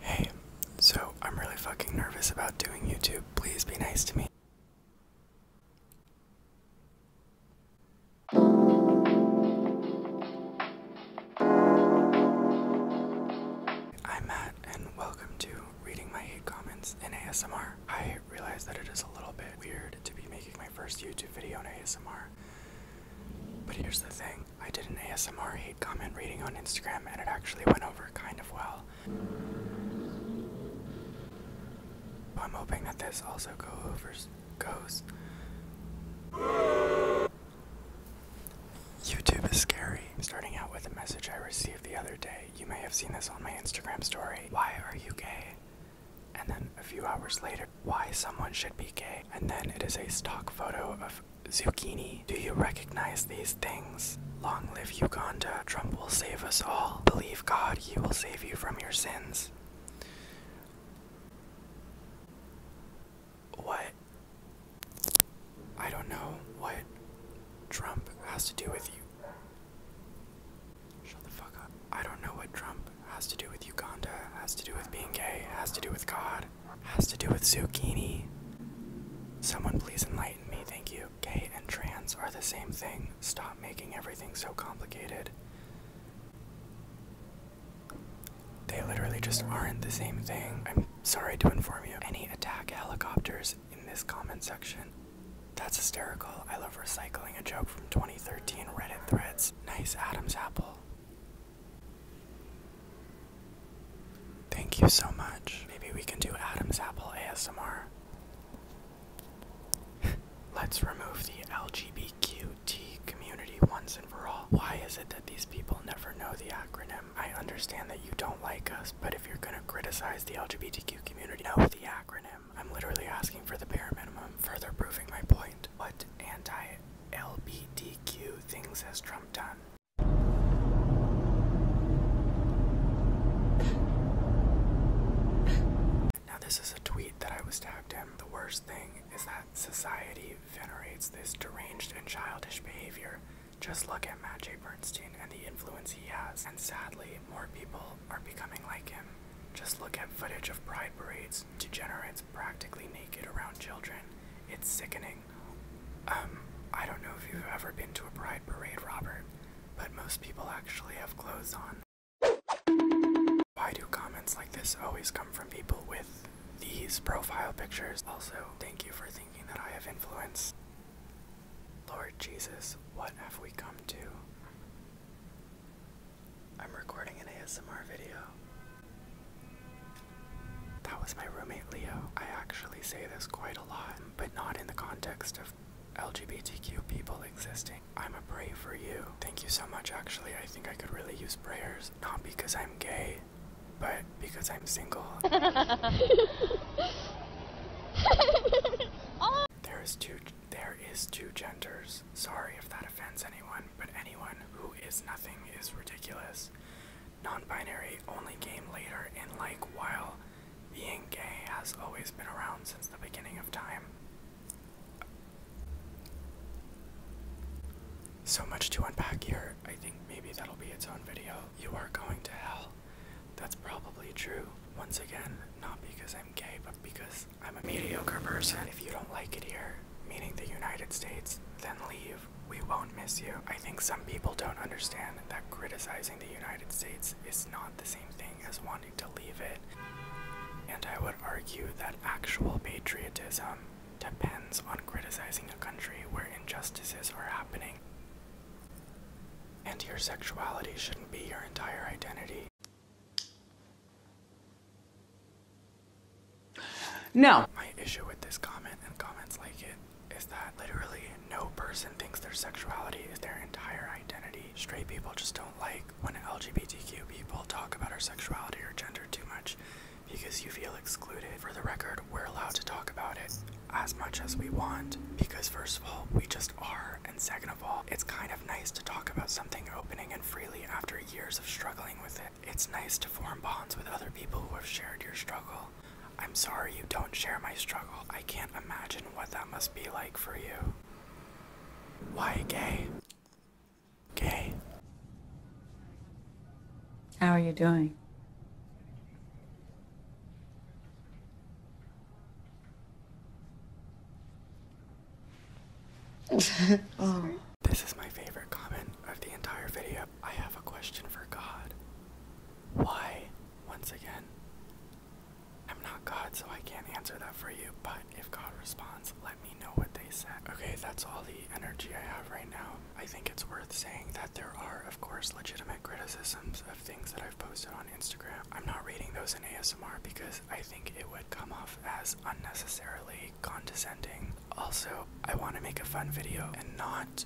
Hey, so I'm really fucking nervous about doing YouTube. Please be nice to me. I'm Matt, and welcome to Reading My Hate Comments in ASMR. I realize that it is a little bit weird to be making my first YouTube video in ASMR, but here's the thing I did an ASMR hate comment reading on Instagram and it actually went over kind of well. I'm hoping that this also goes. YouTube is scary. Starting out with a message I received the other day. You may have seen this on my Instagram story. Why are you gay? And then a few hours later, why someone should be gay. And then it is a stock photo of Zucchini, do you recognize these things? Long live Uganda, Trump will save us all. Believe God, he will save you from your sins. What? I don't know what Trump has to do with you. Shut the fuck up. I don't know what Trump has to do with Uganda, has to do with being gay, has to do with God, has to do with zucchini. Someone please enlighten me, thank you. Gay and trans are the same thing. Stop making everything so complicated. They literally just aren't the same thing. I'm sorry to inform you. Any attack helicopters in this comment section. That's hysterical. I love recycling a joke from 2013 Reddit threads. Nice Adam's apple. Thank you so much. Maybe we can do Adam's Apple ASMR. Let's remove the LGBTQT community once and for all. Why is it that these people never know the acronym? I understand that you don't like us, but if you're gonna criticize the LGBTQ community, know the acronym. I'm literally asking for the bare minimum, further proving my point. What anti LBTQ things has Trump done? Now, this is a tweet that I was tagged in. The worst thing is that society venerates this deranged and childish behavior. Just look at Matt J. Bernstein and the influence he has, and sadly, more people are becoming like him. Just look at footage of pride parades, degenerates practically naked around children. It's sickening. Um, I don't know if you've ever been to a pride parade, Robert, but most people actually have clothes on. Why do comments like this always come from people with these profile pictures? Also, thank you for thinking that I have influence. Lord Jesus, what have we come to? I'm recording an ASMR video. That was my roommate Leo. I actually say this quite a lot, but not in the context of LGBTQ people existing. I'm a pray for you. Thank you so much, actually. I think I could really use prayers. Not because I'm gay, but because I'm single. oh! There is two there is two genders. Sorry if that offends anyone, but anyone who is nothing is ridiculous. Non-binary only game later in like while being gay has always been around since the beginning of time. So much to unpack here. I think maybe that'll be its own video. You are going to hell. That's probably true. Once again, not because I'm gay, but because I'm a mediocre person. If you don't like it here, meaning the United States, then leave. We won't miss you. I think some people don't understand that criticizing the United States is not the same thing as wanting to leave it. And I would argue that actual patriotism depends on criticizing a country where injustices are happening. And your sexuality shouldn't be your entire identity. No. My issue with this comment and comments like it is that literally no person thinks their sexuality is their entire identity. Straight people just don't like when LGBTQ people talk about our sexuality or gender too much because you feel excluded. For the record, we're allowed to talk about it as much as we want because, first of all, we just are, and second, of it's kind of nice to talk about something opening and freely after years of struggling with it. It's nice to form bonds with other people who have shared your struggle. I'm sorry you don't share my struggle. I can't imagine what that must be like for you. Why gay? Gay. How are you doing? Oh. This is my favorite comment of the entire video. I have a question for God. Why, once again, I'm not God, so I can't answer that for you, but if God responds, let me know what they said. Okay, that's all the energy I have right now. I think it's worth saying that there are, of course, legitimate criticisms of things that I've posted on Instagram. I'm not reading those in ASMR because I think it would come off as unnecessarily condescending. Also, I want to make a fun video and not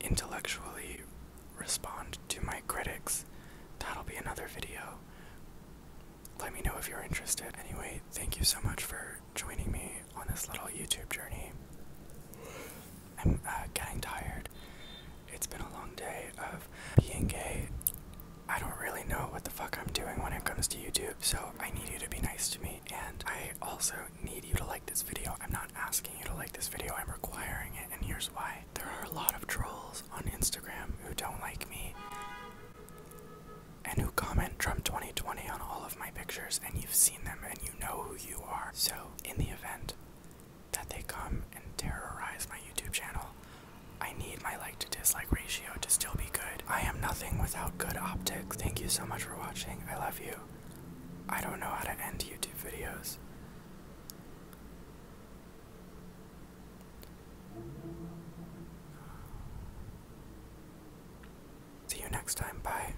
intellectually respond to my critics. That'll be another video. Let me know if you're interested. Anyway, thank you so much for joining me on this little YouTube journey. I'm uh, getting tired. It's been a long day of being gay. I don't really know what the fuck I'm doing when it comes to YouTube, so I need you to be nice to me. And I also need you to like this video. I'm not asking you to like this video, I'm requiring it, and here's why. There are a lot of trolls on Instagram who don't like me and who comment Trump 2020 on all of my pictures, and you've seen them and you know who you are. So, in the event that they come and terrorize my YouTube channel. I need my like to dislike ratio to still be good. I am nothing without good optics. Thank you so much for watching. I love you. I don't know how to end YouTube videos. See you next time. Bye.